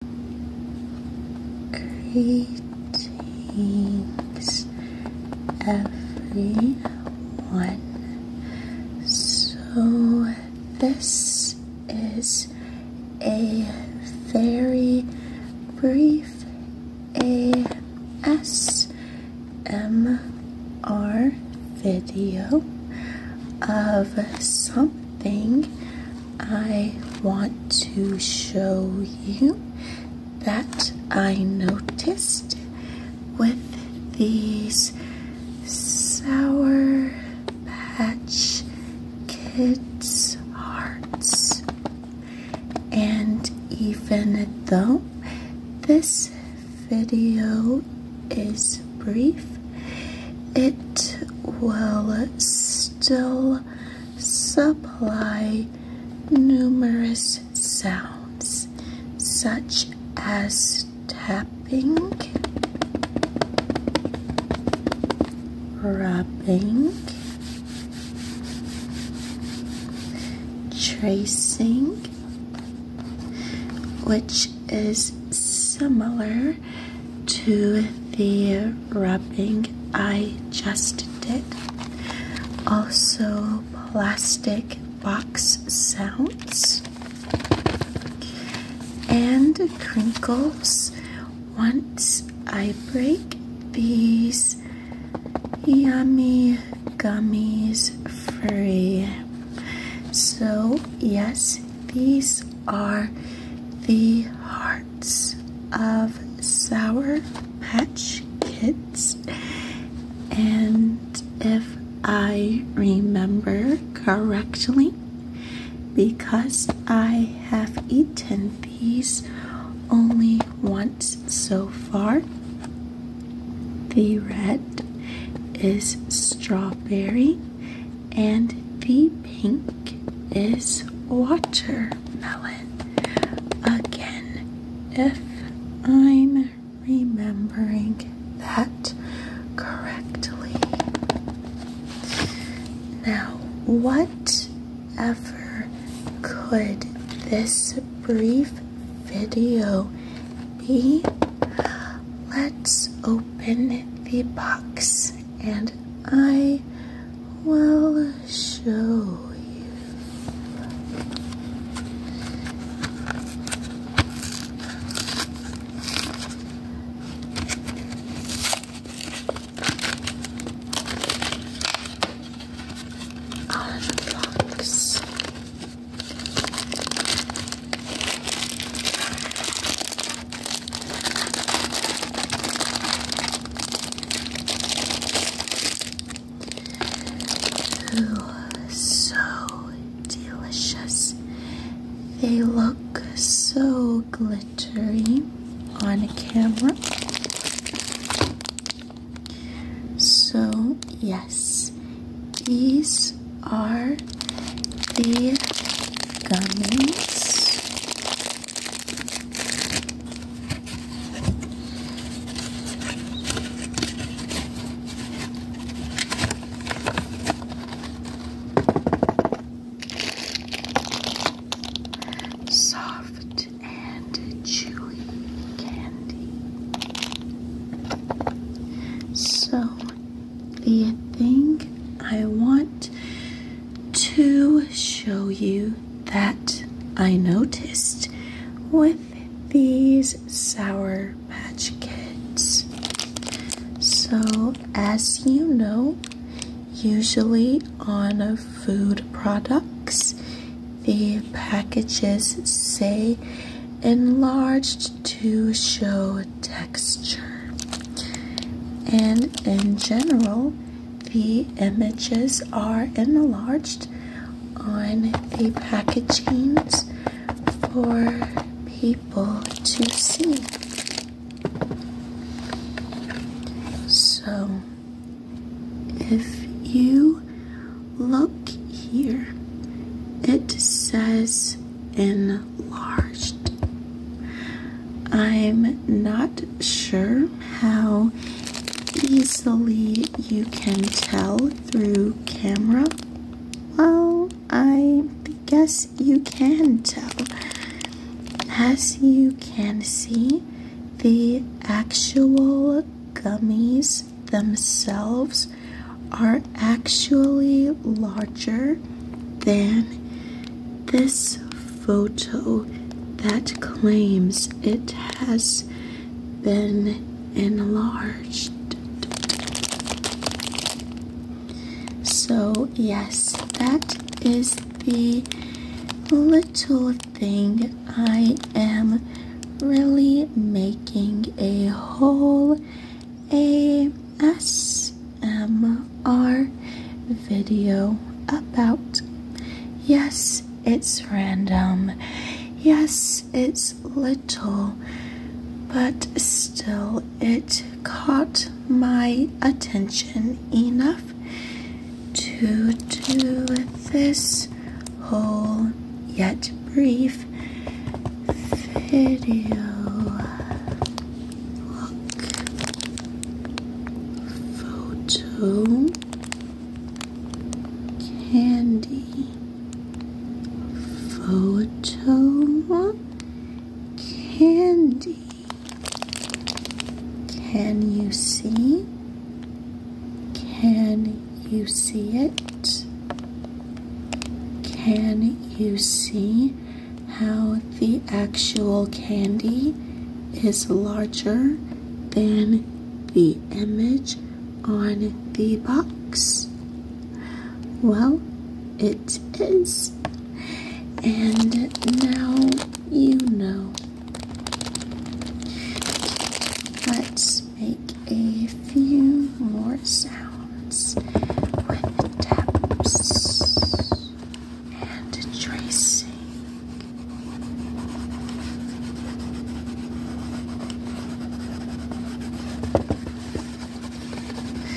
Greetings, everyone. So, this is a very brief ASMR video of something I want to show you that I noticed with these Sour Patch Kids hearts. And even though this video is brief, it will still supply numerous sounds such as tapping, rubbing, tracing, which is similar to the rubbing I just did. Also, plastic box sounds and crinkles once I break these yummy gummies free. So, yes, these are the hard of Sour Patch Kids. And if I remember correctly, because I have eaten these only once so far, the red is strawberry and the pink is watermelon. Again, if I'm remembering that correctly. Now, what ever could this brief video be? Let's open the box and I will show you. Out so delicious. They look so glittery on camera. So, yes, these are the gummies. Soft and chewy candy. So, the thing I want to show you that I noticed with these Sour Patch Kids. So, as you know, usually on food products, the packages say enlarged to show texture. And in general, the images are enlarged on the packaging for people to see. So, if you look here, it says enlarged. I'm not sure how easily you can tell through camera. Well, I guess you can tell. As you can see, the actual gummies themselves are actually larger than this photo that claims it has been enlarged. So, yes, that is the little thing I am really making a whole A S ASMR video about. Yes, it's random. Yes, it's little, but still it caught my attention enough to do this whole yet brief video. Look. Photo. Candy. Photo. Candy. Can you see? Can you see it? Can you see? how the actual candy is larger than the image on the box? Well, it is. And now you know. Let's make a few more sounds with taps and tracing.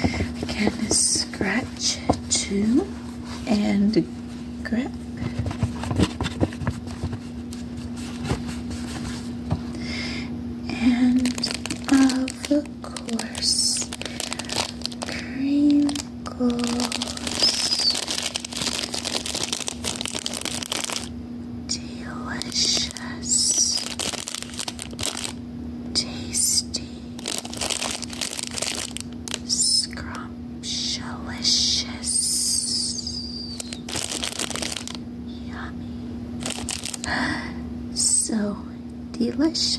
I can scratch too and grip. And of course, cream goes delicious, tasty, scrumptious, yummy, so delicious.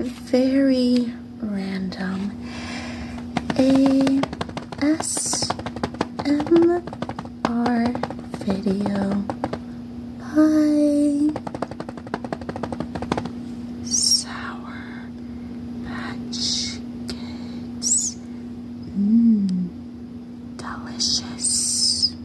very random A S M R video. Bye. Sour Patch Kids. Mmm, delicious.